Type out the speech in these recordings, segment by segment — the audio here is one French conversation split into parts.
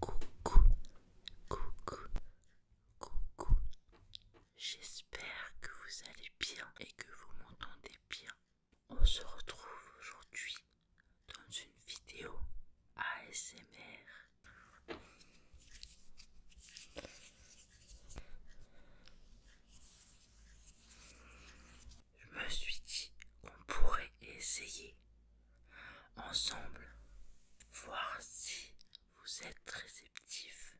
Coucou, coucou, coucou. J'espère que vous allez bien et que vous m'entendez bien. On se retrouve aujourd'hui dans une vidéo ASMR. Je me suis dit qu'on pourrait essayer ensemble, voir si vous êtes réceptif.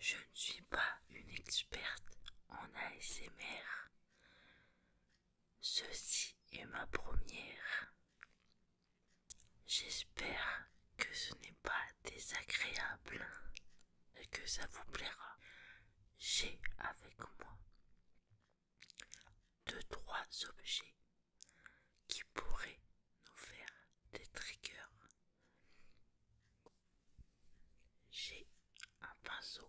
Je ne suis pas une experte en ASMR. Ceci est ma première. J'espère que ce n'est pas désagréable et que ça vous plaira. J'ai avec moi deux trois objets qui pourraient nous faire des triggers. J'ai un pinceau.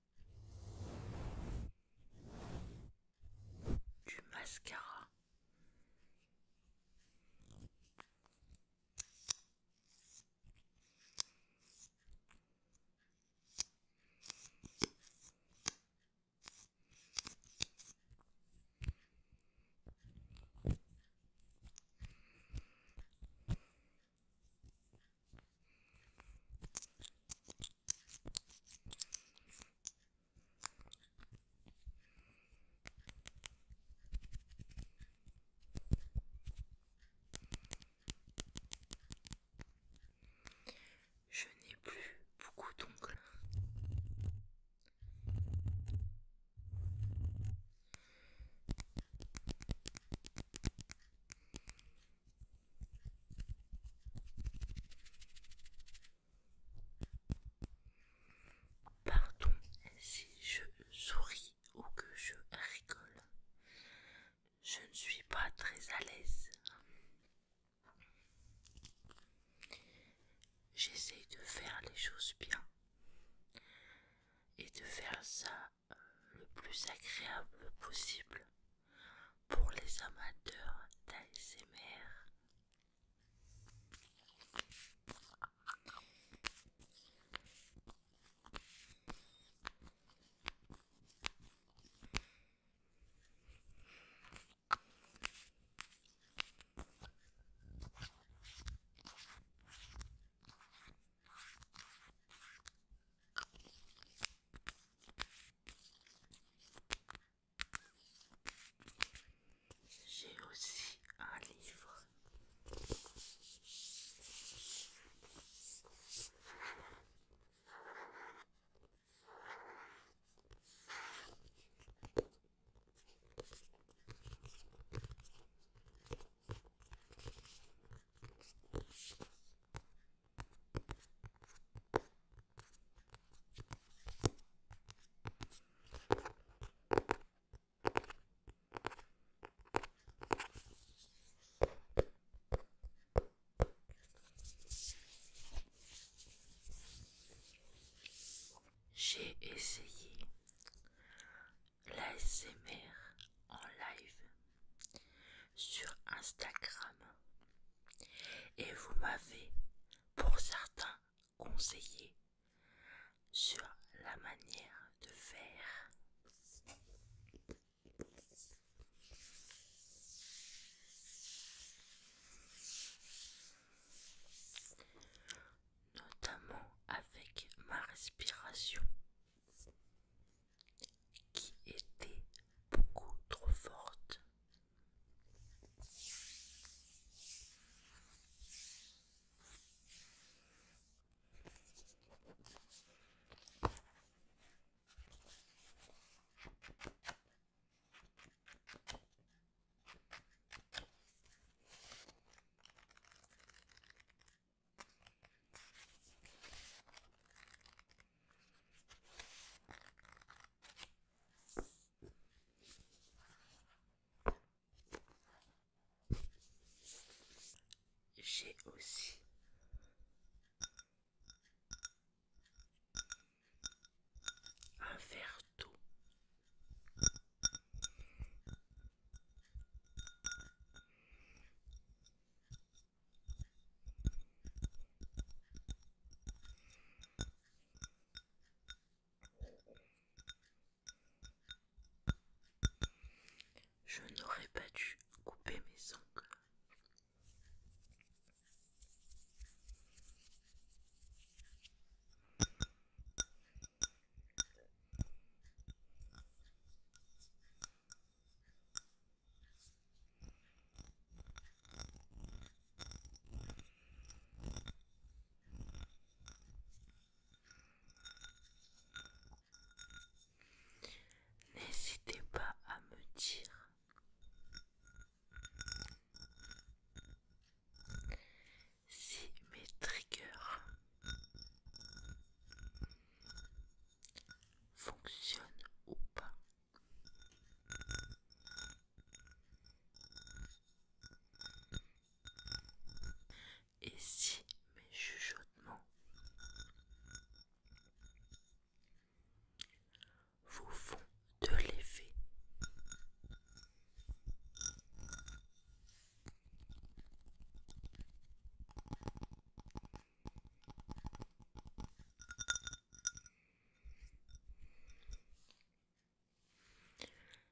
du mascara. Je n'ai plus beaucoup d'ongles. Pardon si je souris ou que je rigole. Je ne suis pas très à l'aise. J'essaie de faire les choses bien et de faire ça le plus agréable possible pour les amateurs d'ASMR. J'ai aussi un livre. J'ai essayé SMR en live sur Instagram et vous m'avez pour certains conseillé sur la manière de faire notamment avec ma respiration qui était beaucoup trop forte. J'ai aussi un verre tout. Je n'aurais pas dû couper mes ongles. N'hésitez pas à me dire si mes triggers fonctionnent ou pas. Et si mes chuchotements vous font de l'effet.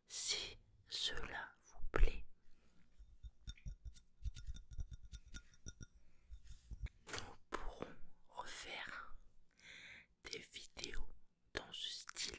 Si cela vous plaît, nous pourrons refaire des vidéos dans ce style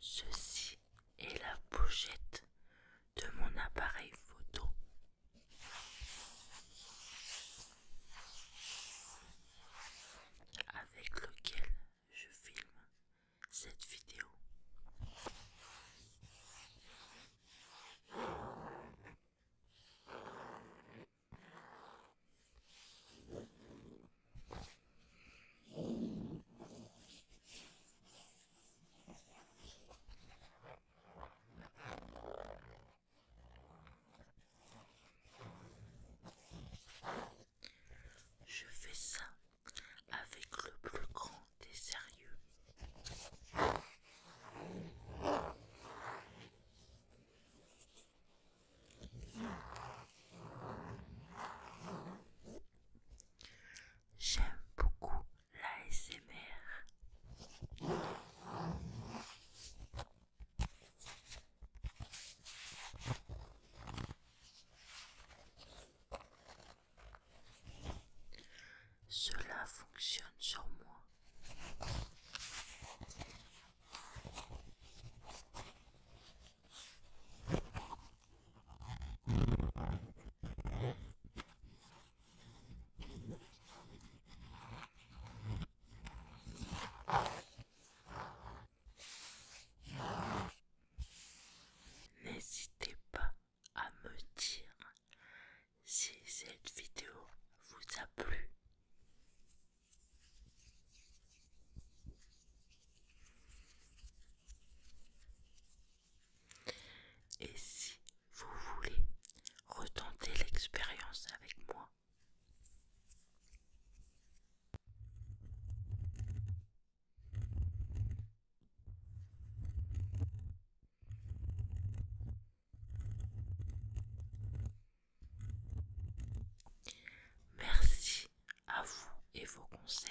Ceci est la pochette de mon appareil photo. Avec lequel je filme cette vidéo. Je fais ça avec le plus grand des sérieux. J'aime beaucoup l'ASMR. Cela fonctionne sur moi. N'hésitez pas à me dire si cette vidéo vous a plu. Et si vous voulez retenter l'expérience avec moi, Merci à vous et vos conseils.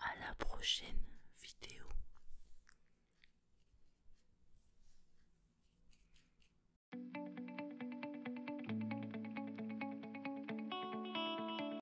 À la prochaine vidéo.